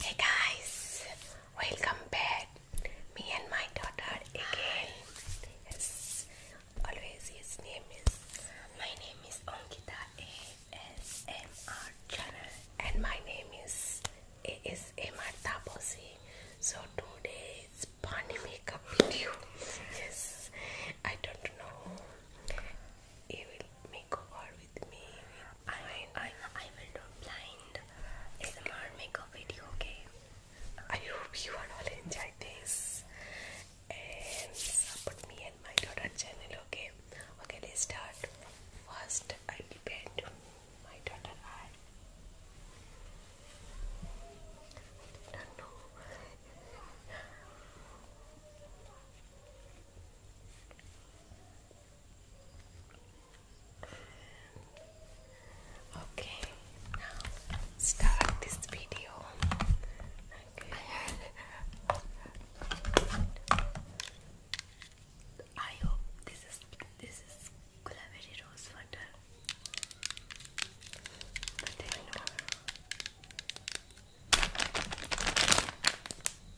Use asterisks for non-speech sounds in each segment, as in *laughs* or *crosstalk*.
Hey guys, welcome back. Me and my daughter again. Yes, always his name is. My name is Onkita ASMR channel, and my name is ASMR Taposi. So today's bunny makeup video. Yes, I don't know makeover with me. I, I, I will do blind SMR makeup video, okay? I hope you all enjoy this and support me and my daughter channel, okay? Okay, let's start. First, I depend on my daughter I don't know. Okay, now start this video. I hope this is this is Gulaveri rose But I know.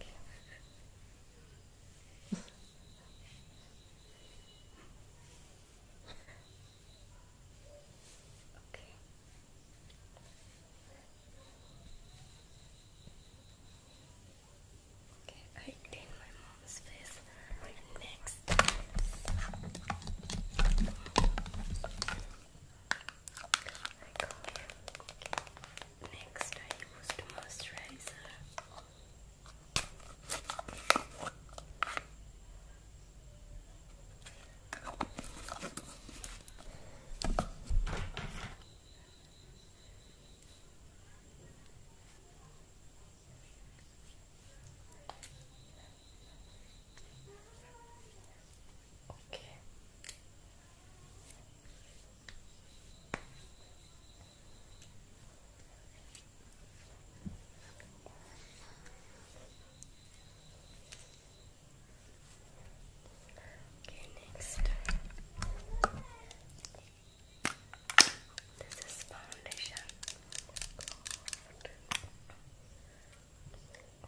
okay. Okay, I did my mom's face next. I got it. Next, I used moisturizer. Okay. Okay, next. This is foundation.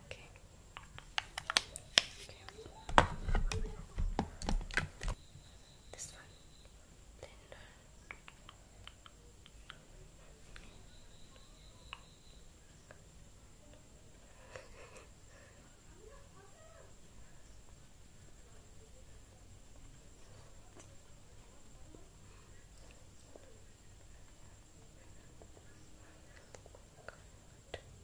Okay. Okay. This one. Then *laughs*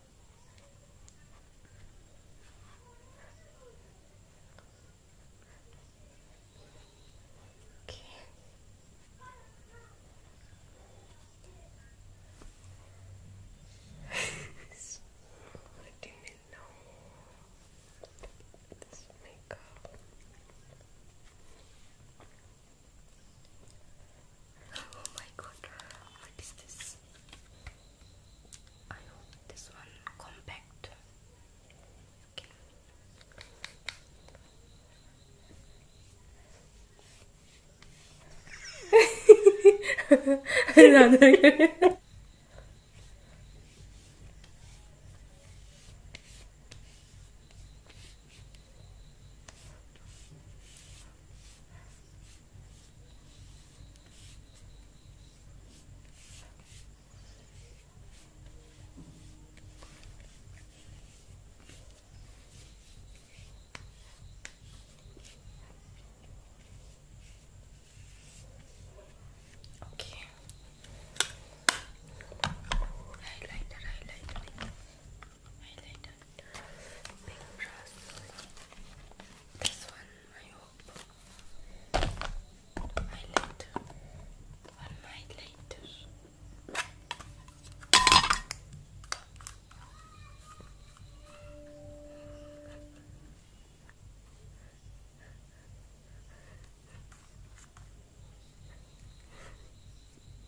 Okay. I did know this makeup. Oh my god, what is this? I hope this one compact. Okay. Another. *laughs* Okay. Highlighter, highlighter my little big brush. This one, I hope. My little, on my little.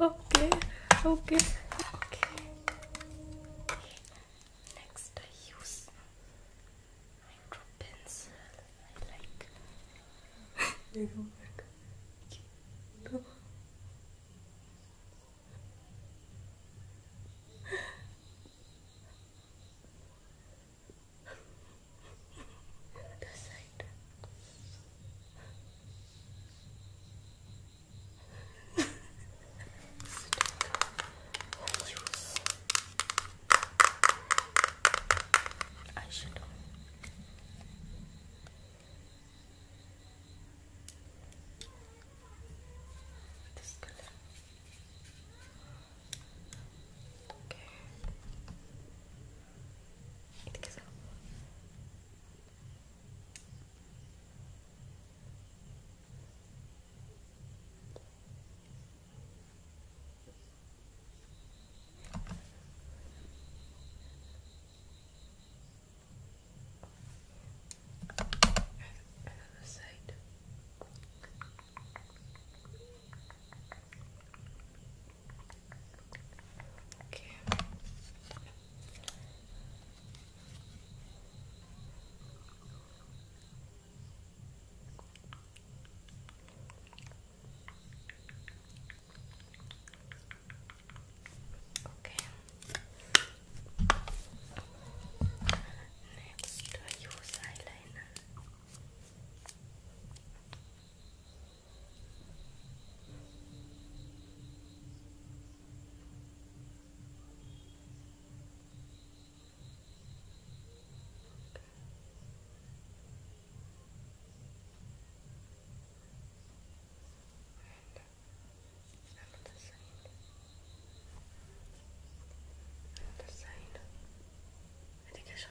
okay okay next I use I draw pencil I like *laughs* eyeshadow. This color. Okay. Herkese Another side. Okay. Okay. Next, I use eyeliner. Okay. And the side. And the side. Education.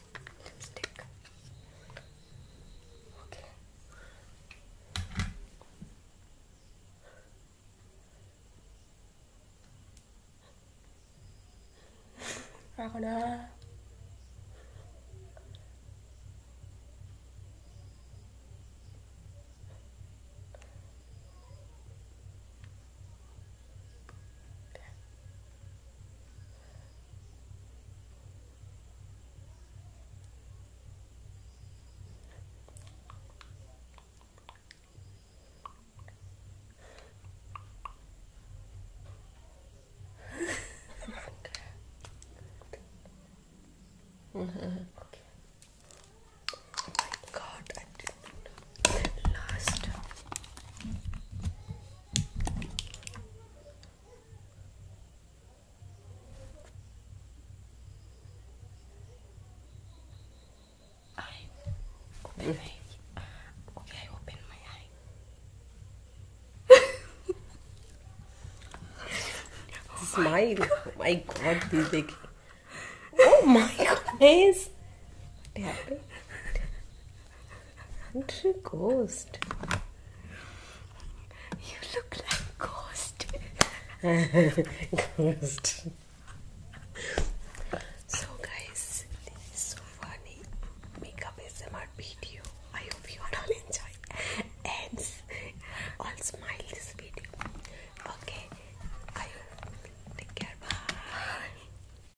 lipstick. Okay. Ragona okay. Mm-hmm. *laughs* Oh my god, I didn't last Open my Okay, I open my oh Smile. My oh my god, Vivek. Oh my *laughs* goodness. What happened? I'm What a ghost. You look like ghost. *laughs* ghost. So guys, this is so funny. Makeup ASMR video. I hope you all enjoy and all smile this video. Okay. take care. Bye.